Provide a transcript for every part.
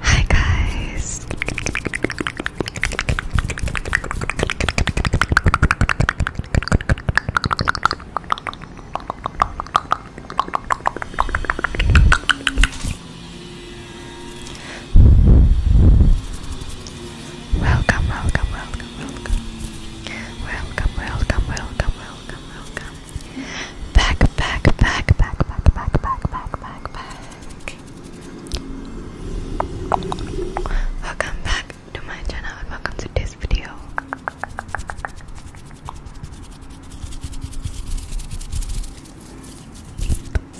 Hi guys. Welcome, welcome, welcome, welcome. Welcome, welcome, welcome, welcome, Back, back, back, back, back, back, back, back, back, back. Welcome back to my channel and welcome to this video.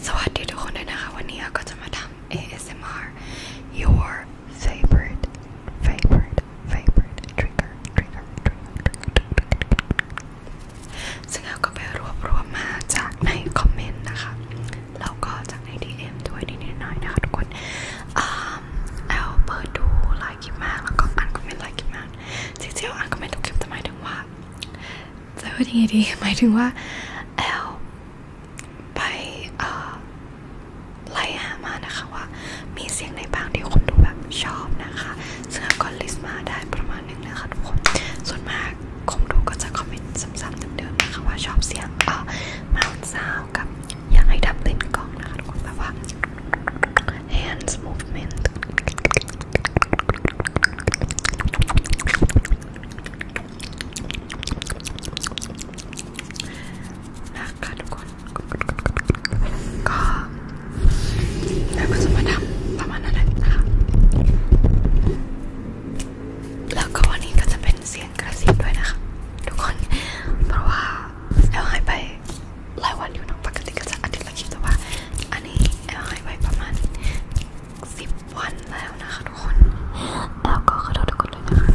So I did ASMR, your favorite, favorite, favorite trigger, trigger, trigger, trigger, trigger, trigger, ซึ่งเราก็ไปรวบรวมมาจากในคอมเมนต์นะคะแล้ก็จากใน DM ด้วยนิดๆหน่อยนะคะ ทุกคนแอลเปิดดูไลค์คลิปมาแล้วก็อ่านคอมเมนต์ไลค์คลิมากจริงๆอ่านคอมเมนต์ทุกคลิปแมาถึงว่าจะพูดยังไงดีหมายถึงว่าแอลไปไล่หามานะคะว่า มีเสียงไหนบ้างที่คนดูแบบชอบนะคะซึ่งก็ลิสต์มาได้ประมาณนึงนะคะทุกคน ส่วนมากคงดูก็จะคอมเมนต์ซ้ำๆเดิมๆนะคะว่าชอบเสียงเอ่อมาดซาวกับอยากให้ดับเล่นกล้องนะคะทุกคนแบบว่า hands movement นะคะทุกคน ก็แล้วก็จะมาทำประมาณนั้นนะคะ แล้วก็วันนี้ก็จะเป็นเสียงกระซิบด้วยนะคะ ทุกคน เพราะว่าแอลหายไปหลายวันอยู่เนาะปกติก็จะอาทิตย์ละคลิปแต่ว่าอันนี้แอลหายไปประมาณสิบวันแล้วนะคะทุกคน แล้วก็ขอโทษทุกคนด้วยนะคะ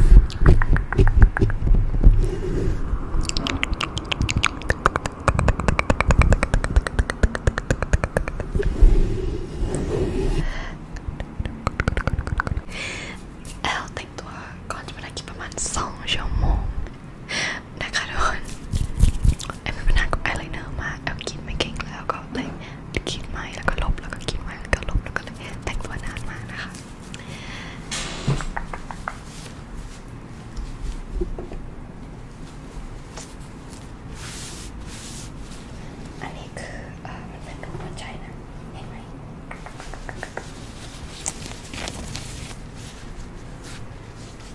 แอลแต่งตัวก่อนจะไปได้กินประมาณสองชั่วโมงนะคะทุกคนแอลมีปัญหากับไอไลเนอร์มากแอลกินไม่เก่งแล้วก็เลยกินไม่แล้วก็ลบแล้วก็กินไม่แล้วก็ลบแล้วก็เลยแต่งตัวนานมากนะคะอันนี้คืออมันเป็นรูปหัวใจนะเห็นไหม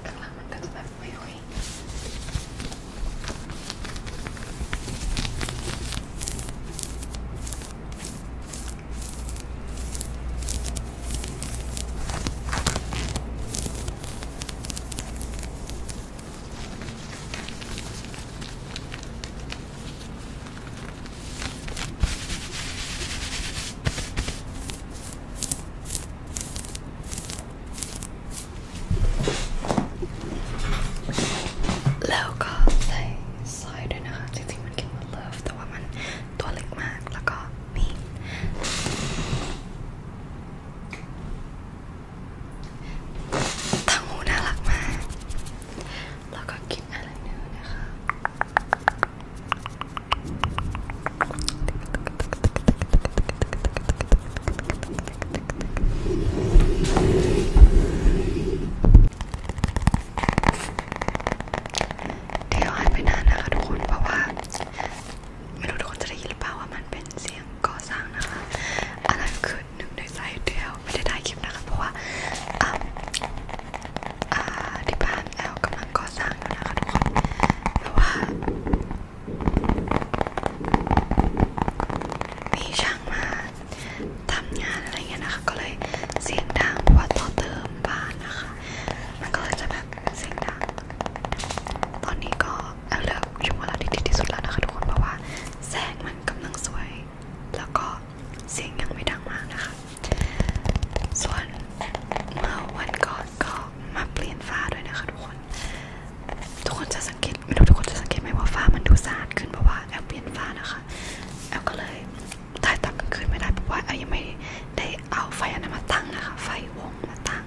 ข้างหลังมันก็จะแบบหุยหุยอันแล้วก็ใส่ซอยด้วยนะคะจริงๆมันกินหมดเลิฟแต่ว่ามันตัวเล็กมาก แล้วก็มีทางงูน่ารักมาก แล้วก็กินอะไรเนื้อนะคะ เดี๋ยวหายไปนานนะคะทุกคน เพราะว่าไม่รู้ทุกคนจะได้ยินหรือเปล่าว่ามันเป็นเสียงก่อสร้างนะคะอันนั้นคือหนึ่งในสายเดียวไม่ได้ถ่ายคลิปนะคะเพราะว่าที่บ้านแอลกำลังก่อสร้างอยู่นะคะทุกคนแต่ว่ามีช่างมาทำงานอะไรเงี้ยนะคะก็เลยเสียงดังเพราะว่าต่อเติมบ้านนะคะมันก็เลยจะแบบดังเสียงดังตอนนี้ก็เอาเลิกช่วงเวลาที่ดีที่สุดแล้วนะคะ ทุกคนเพราะว่าแสงมันกำลังสวย แล้วก็เสียงยังไม่ดังมากนะคะ ส่วนเมื่อวันก่อนก็มาเปลี่ยนฟ้าด้วยนะคะ ทุกคน ทุกคนจะสังเกตไม่รู้ทุกคนจะสังเกตไหมว่าฟ้ามันดูสะอาดขึ้นเพราะว่าแอลเปลี่ยนฟ้านะคะแอลก็เลยถ่ายตอนกลางคืนไม่ได้เพราะว่าแอลยังไม่ได้เอาไฟอันนั้นมาตั้งนะคะ ไฟวงมาตั้ง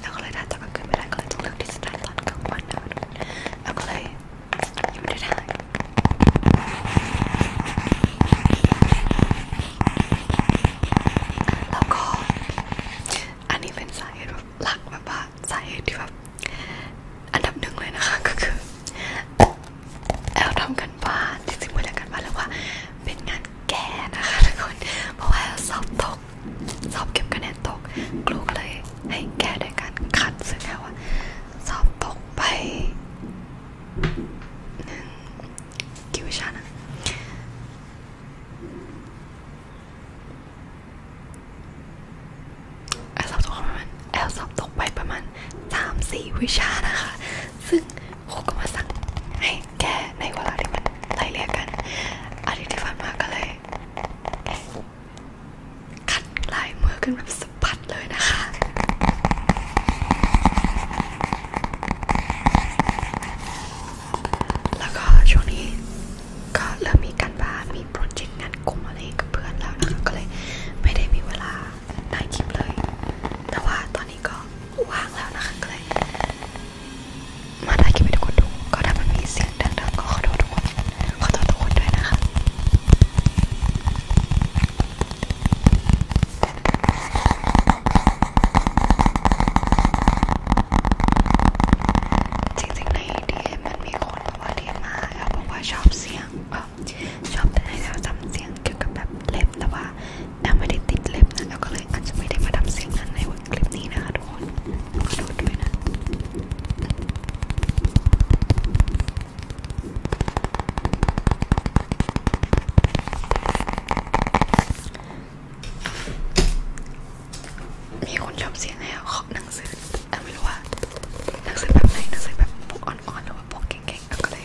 แล้วก็เลยถ่ายตอนกลางคืนไม่ได้ก็เลยต้องเลือกที่จะถ่ายตอนกลางวันนะคะแล้วก็เลยยังไม่ได้ถ่ายแล้วก็อันนี้เป็นสาเหตุแบบหลักแบบว่าสาเหตุที่แบบอันดับหนึ่งเลยนะคะก็คือแอลทำกันบ้านจริงๆไม่ได้กันบ้านแล้วว่าเป็นงานแก่นะคะทุกคนเพราะว่าสอบตกสอบเก็บคะแนนตกครูก็เลยให้แก้ด้วยการคัดซึ่งแล้วว่าสอบตกไปหนึ่งกี่วิชานะแอลสอบตกประมาณแอลสอบตกไปประมาณสามสี่วิชานะคะ ซึ่งครูก็มาสั่งให้แก้ในเวลาที่มันไล่เรียกกันอาทิตย์ที่ผ่านมาก็เลยขัดลายมือขึ้นแบบสะพัดเลยนะคะ แล้วก็ช่วงนี้ก็เริ่มมีการบ้านมีโปรเจกต์งานกลุ่มอะไรกับเพื่อนแล้วนะคะ ก็เลยไม่ได้มีเวลาถ่ายคลิปเลย แต่ว่าตอนนี้ก็ว่างแล้วนะคะก็เลยมาถ่ายคลิปให้ทุกคนดูก็ถ้ามันมีเสียงดังๆก็ขอโทษทุกคนขอโทษทุกคนด้วยนะคะ จริงๆ ในดีเอ็มมันมีคนบอกว่าดีมาแล้วบอกว่าชอบเสียงชอบแต่ในเราจำเสียงเกี่ยวกับแบบเล็บแต่ว่าแอมไม่ได้ติดเล็บนะแล้วก็เลยอาจจะไม่ได้มาทำเสียงนั้นในวันคลิปนี้นะคะทุกคนขอโทษด้วยนะมีคนชอบเสียงแนวขอหนังสือแอมไม่รู้ว่าหนังสือแบบไหนหนังสือแบบพวกอ่อนๆหรือว่าพวกเก่งๆแล้วก็เลย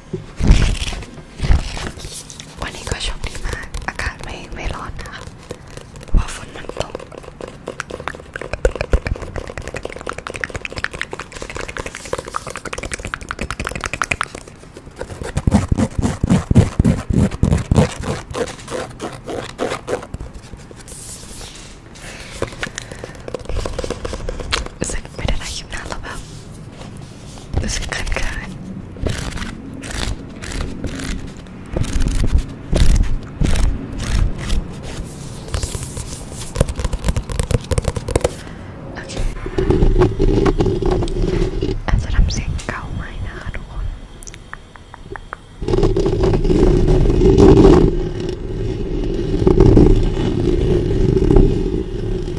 วันนี้ก็โชคดีมาก อากาศไม่ไม่ร้อนนะคะเพราะฝนมันตกรู้สึกไม่ได้ถ่ายคลิปนานแล้วแบบรู้สึกเขินๆโอเคอาจจะทำเสียงเก่าไหมนะคะทุกคน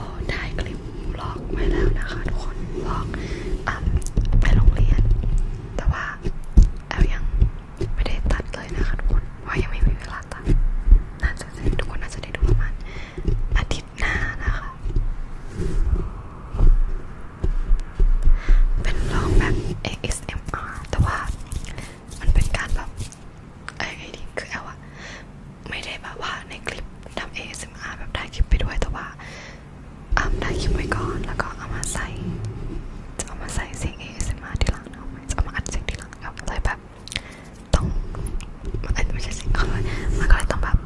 เราได้คลิปบล็อกไว้แล้วนะคะ ทุกคนบล็อกอ่ะไปโรงเรียน แต่ว่าแอลยังไม่ได้ตัดเลยนะคะ ทุกคนเพราะยังไม่มีเวลาตัดน่าจะทุกคนน่าจะได้ดูประมาณอาทิตย์หน้านะคะ เป็นบล็อกแบบ ASMR แต่ว่ามันเป็นการแบบไอ้ดีคือแอลอะไม่ได้แบบว่าในคลิปทำ ASMR แบบถ่ายคลิปไปด้วยแต่ว่าอ่าถ่ายคลิปไว้ก่อนแล้วก็เอามาใส่จะเอามาใส่เสียง ASMR ทีหลังเอาจะเอามาอัดเสียงทีหลังเอาเลยแบบ ต้องไม่ใช่เสียงเขาเลยมันก็เลยต้องแบบ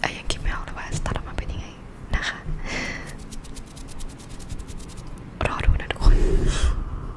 ไอ้ยังคิดไม่ออกเลยว่าสตาร์ทออกมาเป็นยังไงนะคะรอดูนะทุกคน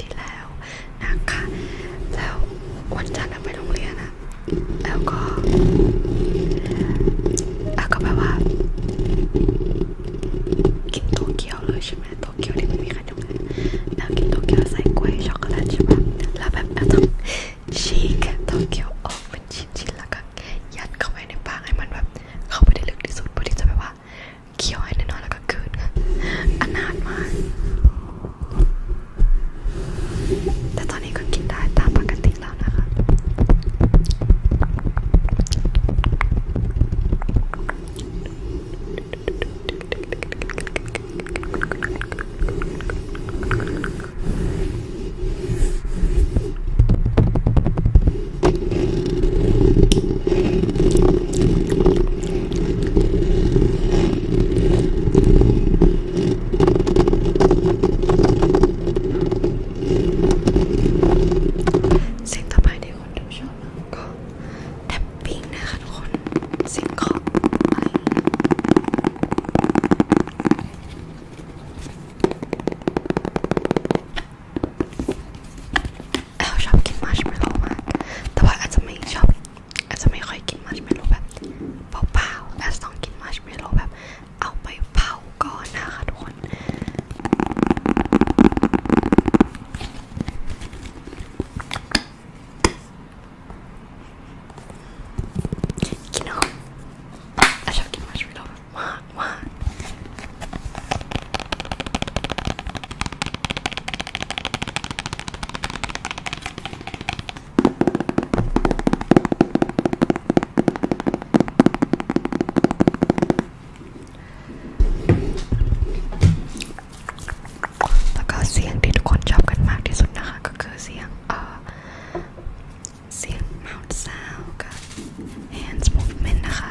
ที่แล้วนะคะแล้ววันจันทร์ไปโรงเรียนอะแล้วก็แล้วก็แบบว่ากินโตเกียวเลยใช่ไหมโตเกียวที่มันมีขนมแล้วกินโตเกียวใส่กล้วยช็อกโกแลตใช่ไหมแล้วแบบเราต้องฉีกโตเกียวออกเป็นชิ้นๆแล้วก็ยัดเข้าไปในปากให้มันแบบเข้าไปได้ลึกที่สุดเพื่อที่จะแบบว่าเคี้ยวให้แน่นอนแล้วก็คืนอนาถมากแต่ตอนนี้ก็กินได้ตามปกติแล้วนะคะสิ่งต่อไปที่คนดูชอบก็แท็บปิ้งนะคะทุกคน สิ่งของอะไรเราชอบกินมัชเมลโลมากแต่ว่าอาจจะไม่ชอบแอสจะไม่ค่อยกินมัชเมโลแบบเปล่าๆแอสต้องกินมัชเมโลแบบเอาไปเผาก่อนนะคะ ทุกคน กินหอมแอสชอบกินมัชเมโลแบบมากมากแล้วก็เสียงที่ทุกคนชอบกันมากที่สุดนะคะก็คือเสียงเออเสียง mouth sound กับ hands movement นะคะ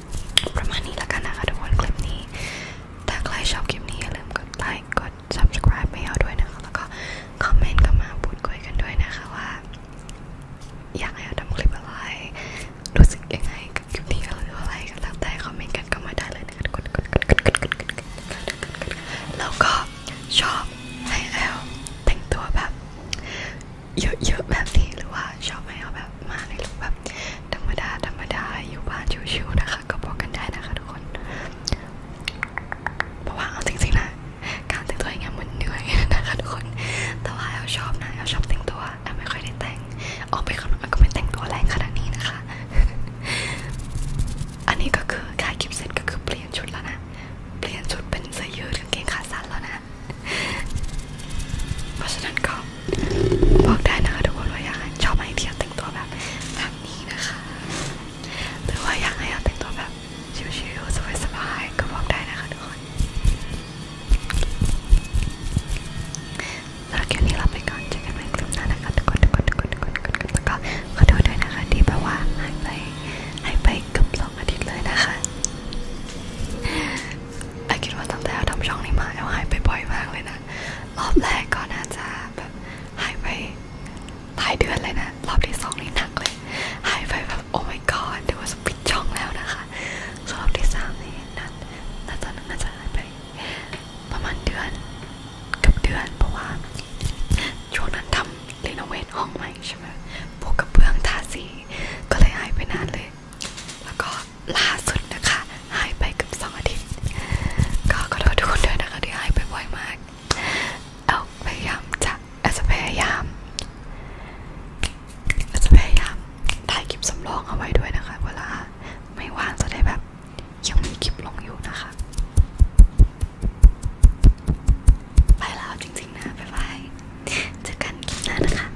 ประมาณนี้ละกันนะคะทุกคนคลิปนี้ ถ้าใครชอบคลิปนี้อย่าลืมกดไลค์กด subscribe ไม่เอาด้วยนะคะแล้วก็คอมเมนต์เข้ามาพูดคุยกันด้วยนะคะว่า อยากให้เราทำคลิปอะไรรู้สึกยังไงกับคลิปนี้หรืออะไรก็แล้วแต่คอมเมนต์กันเข้ามาได้เลยนะคะกดแล้วก็ชอบให้แอลแต่งตัวแบบเยอะๆแบบนี้หรือว่าชอบให้เอาแบบแบบมาในรูปแบบธรรมดา ธรรมดาอยู่บ้านชิวๆนะคะ ก็บอกกันได้นะคะทุกคนเพราะว่าเอาจริงๆนะ การแต่งตัวย่งเงี้ยยนะคะ ทุกคน แต่ว่าเราชอบนะเราชอบแต่งตัวแต่ไม่ค่อยได้แต่งออกไปก็ไมแต่งตัวแรงขนาดนี้นะคะ อันนี้ก็คือถายคิปเส็จก็คือเปลี่ยนชุดแล้วนะเปลี่ยนชุดเป็นเสื้อยืดกางเกงขาสั้นแล้วนะ เพราะฉะันบอกได้นะคะทุกคนว่าอยากชอบไอเดียแต่งตัวแบบแบบนี้นะคะหรือว่าอยากให้เราแต่งตัวแบบชิวๆสบายๆก็บอกได้นะคะทุกคนสำหรับคลิปนี้เราไปก่อนเจอกันใหม่คลิปหน้านะคะทุกคนทุกคนทุกคนทุกคนแล้วก็ขอโทษด้วยนะคะที่แบบว่าหายไปหายไปเกือบสองอาทิตย์เลยนะคะไอคิดว่าตั้งแต่ทำช่องนี้มาแอลหายไปบ่อยมากเลยนะรอบแรกก็น่าจะแบบหายไปหลายเดือนเลยนะรอบที่สองนี่หนักเลยหายไปแบบโอ้ my god ดูว่าจะปิดช่องแล้วนะคะรอบที่สามนี่นัดน่าจะน่าจะหายไป ประมาณเดือนกับเดือนเพราะว่าช่วงนั้นทำรีโนเวทห้องใหม่ใช่ไหมพวกกระเบื้องทาสีก็เลยหายไปนานเลย แล้วก็ล่าสุดนะคะหายไปกับสองอาทิตย์ ก็ขอโทษทุกคนด้วยนะคะที่หายไปบ่อยมาก เอาพยายามจะอาจจะพยายามอาจจะพยายามถ่ายคลิปสำรองเอาไว้ด้วยนะคะ เวลาไม่ว่างจะได้แบบยังมีคลิปลงอยู่นะคะ ไปแล้วจริงๆนะ บ๊ายบาย เจอกันคลิปหน้านะคะ